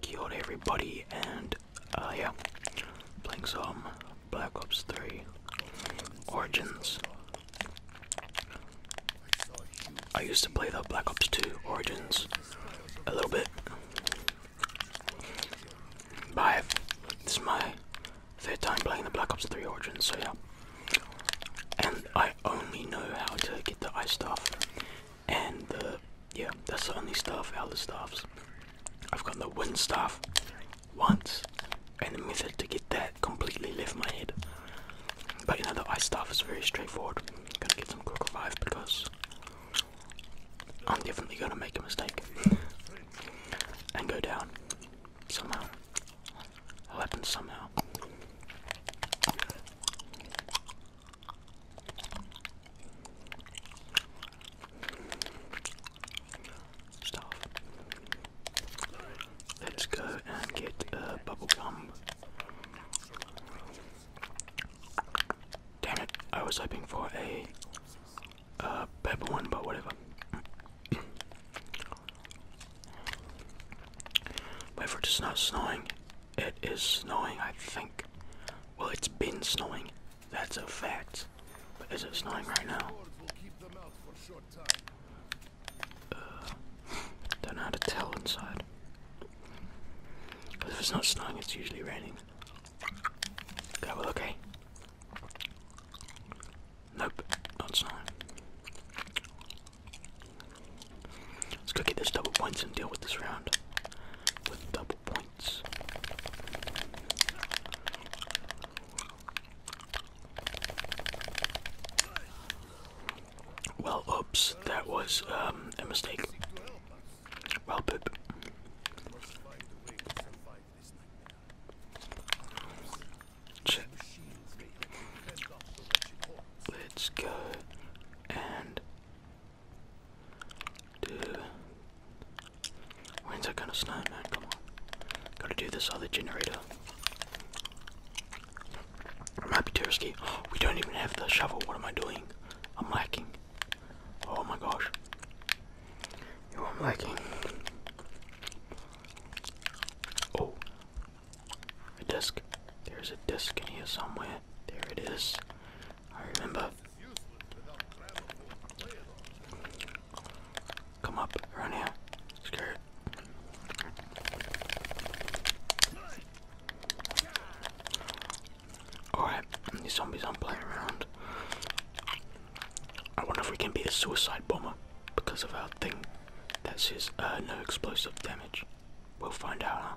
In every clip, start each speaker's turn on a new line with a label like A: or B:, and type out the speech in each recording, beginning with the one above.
A: Kia ora everybody and uh, yeah, playing some Black Ops 3 Origins. I used to play the Black Ops 2 Origins a little bit. But this is my third time playing the Black Ops 3 Origins, so yeah. And I only know how to get the ice stuff. And the, yeah, that's the only stuff, out of the stuffs. I've got the wind stuff once, and the method to get that completely left my head. But you know, the ice stuff is very straightforward. I'm gonna get some quick 5 because I'm definitely gonna make a mistake and go down somehow. It'll happen somehow. Stuff. Let's go and get a uh, bubble gum. Damn it, I was hoping for a uh, one, but whatever. Wait for it to snowing. It is snowing, I think. Well, it's been snowing. That's a fact. But is it snowing right now? uh, don't know how to tell inside. Because if it's not snowing, it's usually raining. Okay, well, okay. Nope, not snowing. Let's go get those double points and deal with this round with double points. Well, oops, that was um, a mistake. Well, poop. Let's go and do. When's that gonna snow, man? Come on. Gotta do this other generator. I might be Tersky. We don't even have the shovel. What am I doing? I'm lacking. Oh my gosh. Yo, i lacking. Oh. A disc. There's a disc in here somewhere. There it is. I remember. Come up, run here. Alright, these zombies aren't playing around. I wonder if we can be a suicide bomber because of our thing that says uh, no explosive damage. We'll find out, huh?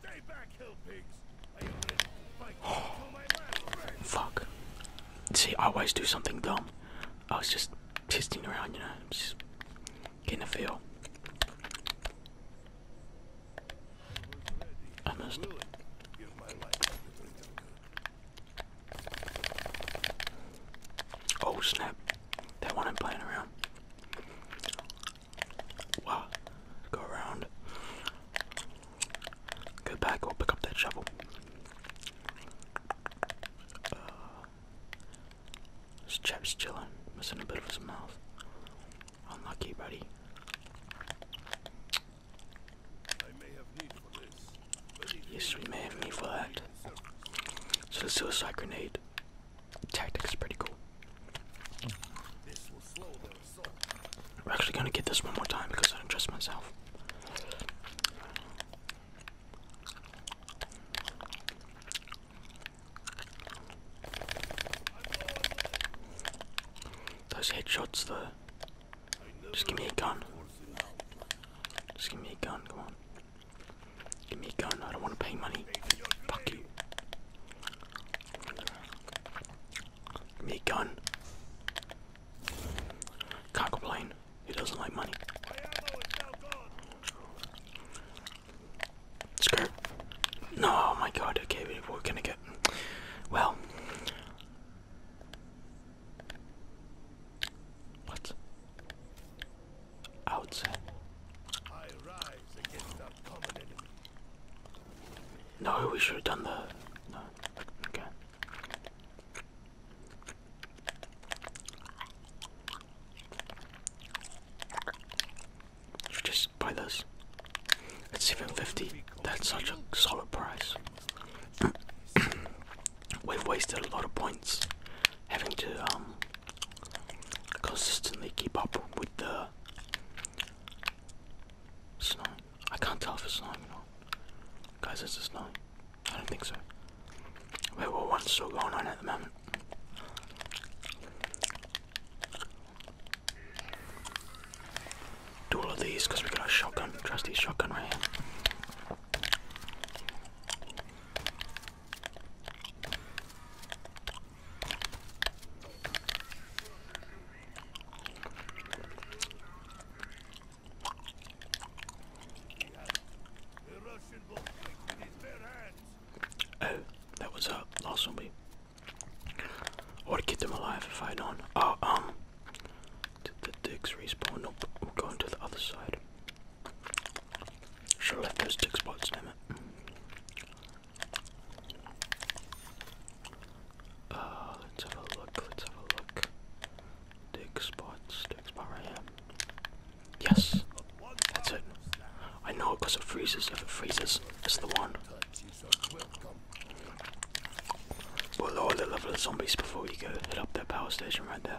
A: Stay back, hill pigs. fuck. See, I always do something dumb. I was just testing around, you know. Getting a feel. I missed. Oh snap! That one I'm playing around. Wow! Go around. Go back. Go pick up that shovel. Uh, this chap's chilling, missing a bit of his mouth. Unlucky, buddy. yes, we may have need for that. So the suicide grenade tactic is pretty cool. This will We're actually gonna get this one more time because I don't trust myself. Those headshots though. Just give me a gun. Just give me a gun, come on. Give me a gun, I don't want to pay money. Fuck you. me gun. Can't complain. He doesn't like money? Skirt. No, oh my god, okay, we're gonna get. Well. What? Outside. No, we should have done the. Okay. You just buy this. at 750. That's such a solid price. We've wasted a lot of points having to um consistently keep up with the snow. I can't tell if it's snowing or not. Guys, it's snowing. I don't think so. Wait, well, one's still going on at the moment. Do all of these because we got a shotgun, trusty shotgun right here. Oh, that was a lost Me. I to keep them alive if I don't. Oh, um. Did the dicks respawn? Nope, we're going to the other side. Should have left those tick spots, damn it. Uh, let's have a look, let's have a look. Dig spots, dig spot right here. Yes, that's it. I know it because it freezes. If it freezes, it's the one. We'll the level of zombies before you go hit up that power station right there.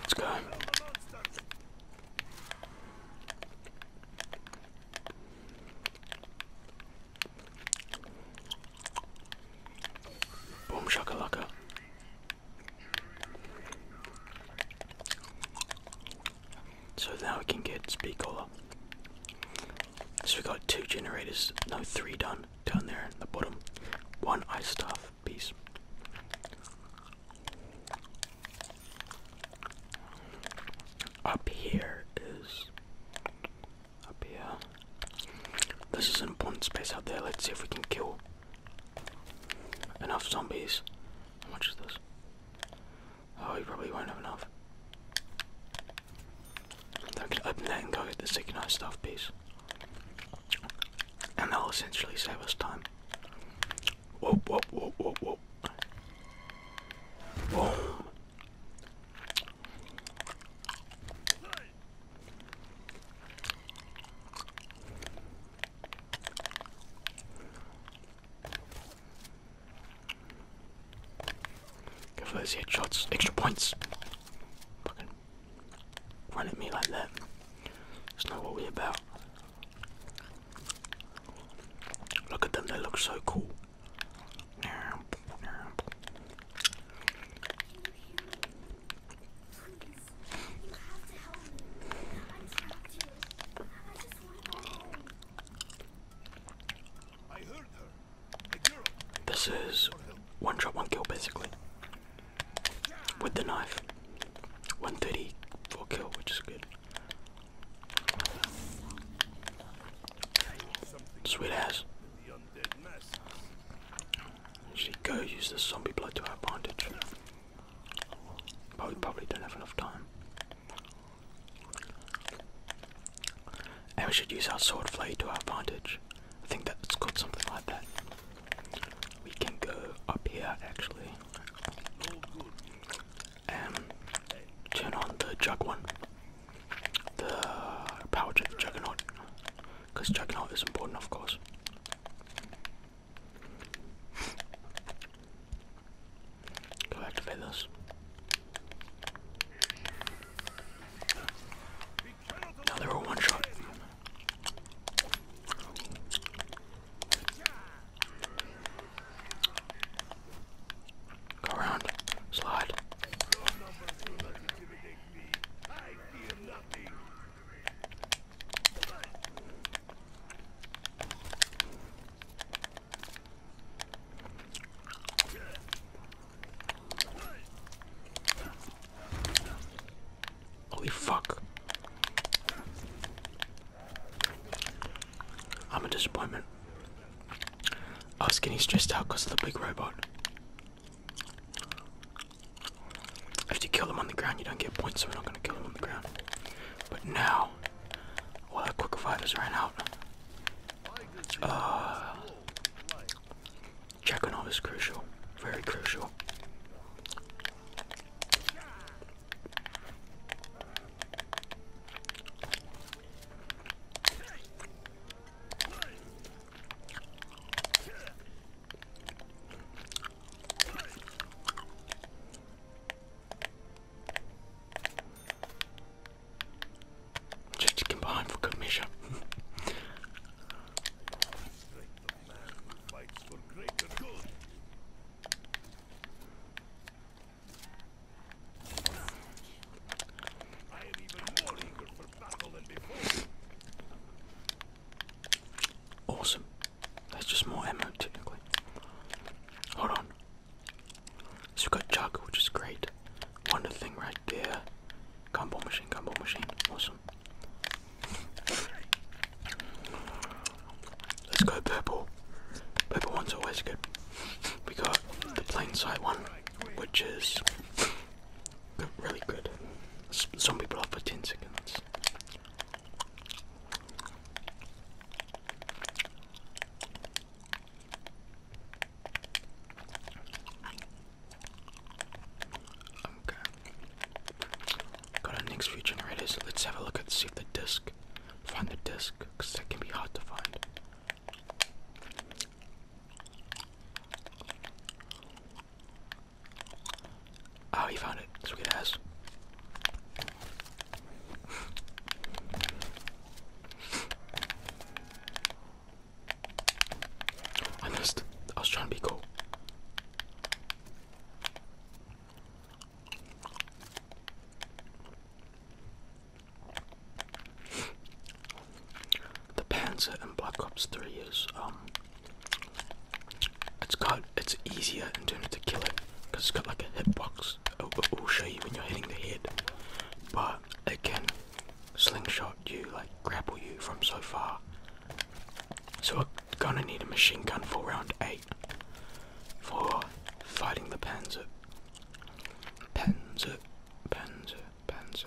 A: Let's go. Boom shakalaka. So now we can get speed caller. So we got two generators, no three done down there in the bottom. One ice stuff. Peace. Up here is up here. This is an important space out there. Let's see if we can kill enough zombies. How much is this? Oh, we probably won't have enough. I could open that and go get the second nice stuff piece and they'll essentially save us time. Whoa, whoa, whoa, whoa, whoa. Boom. Give those headshots, extra points. Fucking run at me like that. It's not what we're about. Look at them, they look so cool. This is one shot, one kill basically with the knife. 134 kill, which is good. Sweet ass. Actually, go use the zombie blood to our advantage. But we probably don't have enough time. And we should use our sword blade to our advantage. I think that that's called something like that. We can go up here actually and turn on the jug one, the power jug juggernaut, because juggernaut is important, of course. Go activate this. Now they were one shot. Go around, slide. Holy fuck. I'm a disappointment. I was getting stressed out because of the big robot. If you kill them on the ground, you don't get points, so we're not going to kill them on the ground. But now, all our quick fighters ran out. Uh, Checking on is crucial, very crucial. Just to combine for good measure. Awesome. That's just more ammo technically. Hold on. So we've got Jug, which is great. Wonder thing right there. Combo machine, combo machine. Awesome. Let's go purple. Purple one's always good. We got the plain sight one, which is really good. S some people are for 10 seconds. Okay. Got our next few generators. Let's have a look at see the disc. Find the disc, because can be hard to find. Oh, he found it. Sweet ass. I missed. I was trying to be cool. The Panzer in Black Ops 3 is um it's got it's easier in terms to kill it because it's got like a hit hitbox it will show you when you're hitting the head but again slingshot you, like grapple you from so far. So we're gonna need a machine gun for round 8 for fighting the panzer. Panzer, panzer, panzer.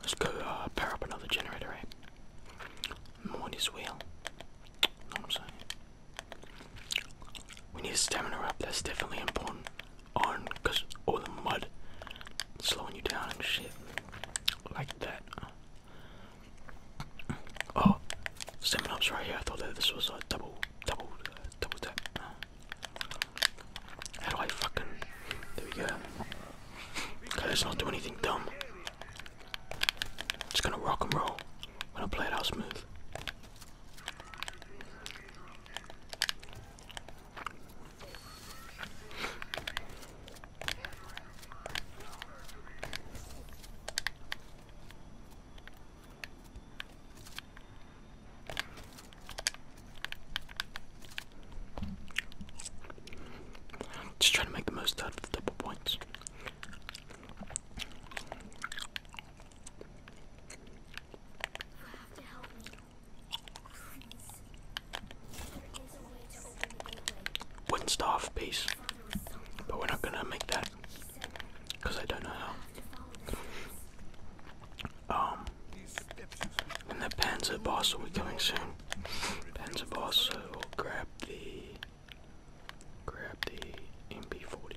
A: Let's go uh, up another generator, right? Eh? More wheel. what I'm saying? We need stamina up, that's definitely important. On, because all the mud slowing you down and shit. Like that. Oh, stamina up's right here. I thought that this was a uh, double, double, uh, double tap. How do I fucking. There we go. Okay, let's not do anything dumb. Just gonna rock and roll. When I play it out smooth. Just trying to make the most out of the double points. You have to help but we're not gonna make that because I don't know how. Um, and the Panzer boss will be coming soon. Panzer boss will grab the grab the MP40.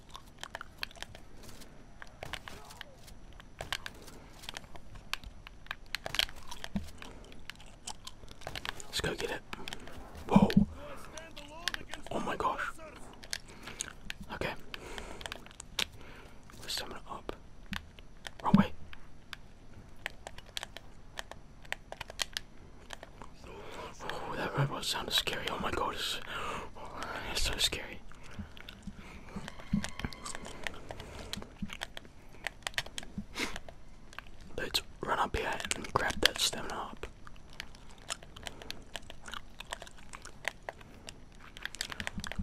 A: Let's go get it. Whoa. Oh my gosh. Okay. Let's stamina up. Wrong Oh, that robot sounded scary. Oh my god, it's so scary. Let's run up here and grab that stem up.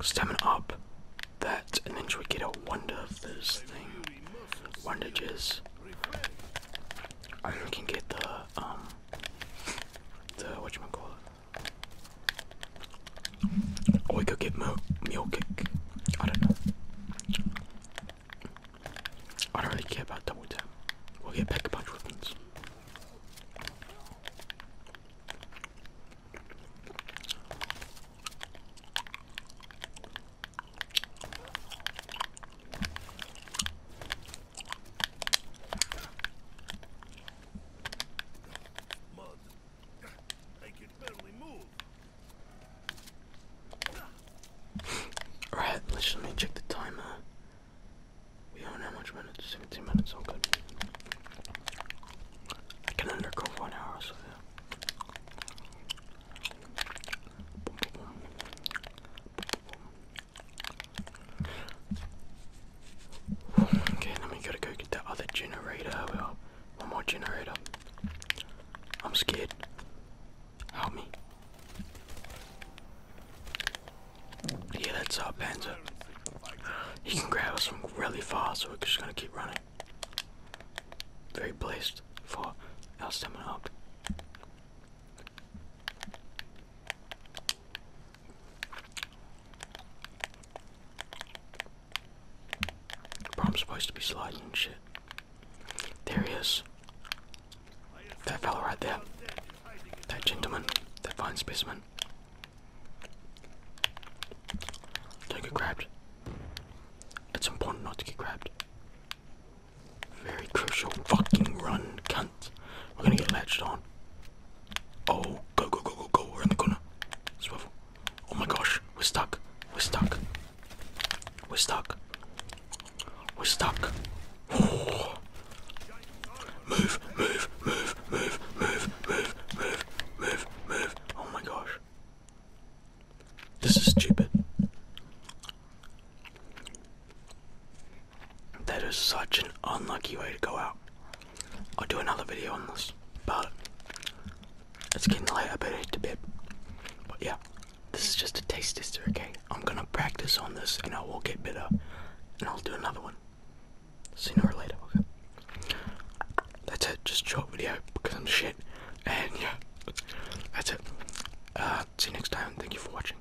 A: Stem up that, and then should we get a wonder of this thing? Wonder jizz. I can get the um the whatchamacallit we could get Mule Kick. I don't know. I don't really care about double tap. We'll get Pack a Punch weapons. Mud. I can barely move. let's let me check the timer. We don't know much minutes, 17 minutes, all good. I can undergo for hour so, Okay, then we gotta go get that other generator. one more generator. I'm scared. Help me. Yeah, that's our Panzer. He can grab us from really far, so we're just gonna keep running. Very blessed for our stamina up. Bro, i supposed to be sliding shit. There he is. That fella right there. That gentleman. That fine specimen. Don't get grabbed. It's important not to get grabbed. Very crucial. Fucking run, cunt. We're gonna get latched on. Oh, go, go, go, go, go. We're in the corner. Swivel. Oh my gosh, we're stuck. We're stuck. We're stuck. We're stuck. Oh. Move, move, move, move, move, move, move, move, move. Oh my gosh. This is stupid. That is such an unlucky way to go out. I'll do another video on this, but it's getting late. I better hit to bed. But yeah, this is just a taste tester, okay? I'm gonna practice on this and I will get better and I'll do another one sooner or later, okay? That's it, just short video because I'm shit. And yeah, that's it. Uh, see you next time. Thank you for watching.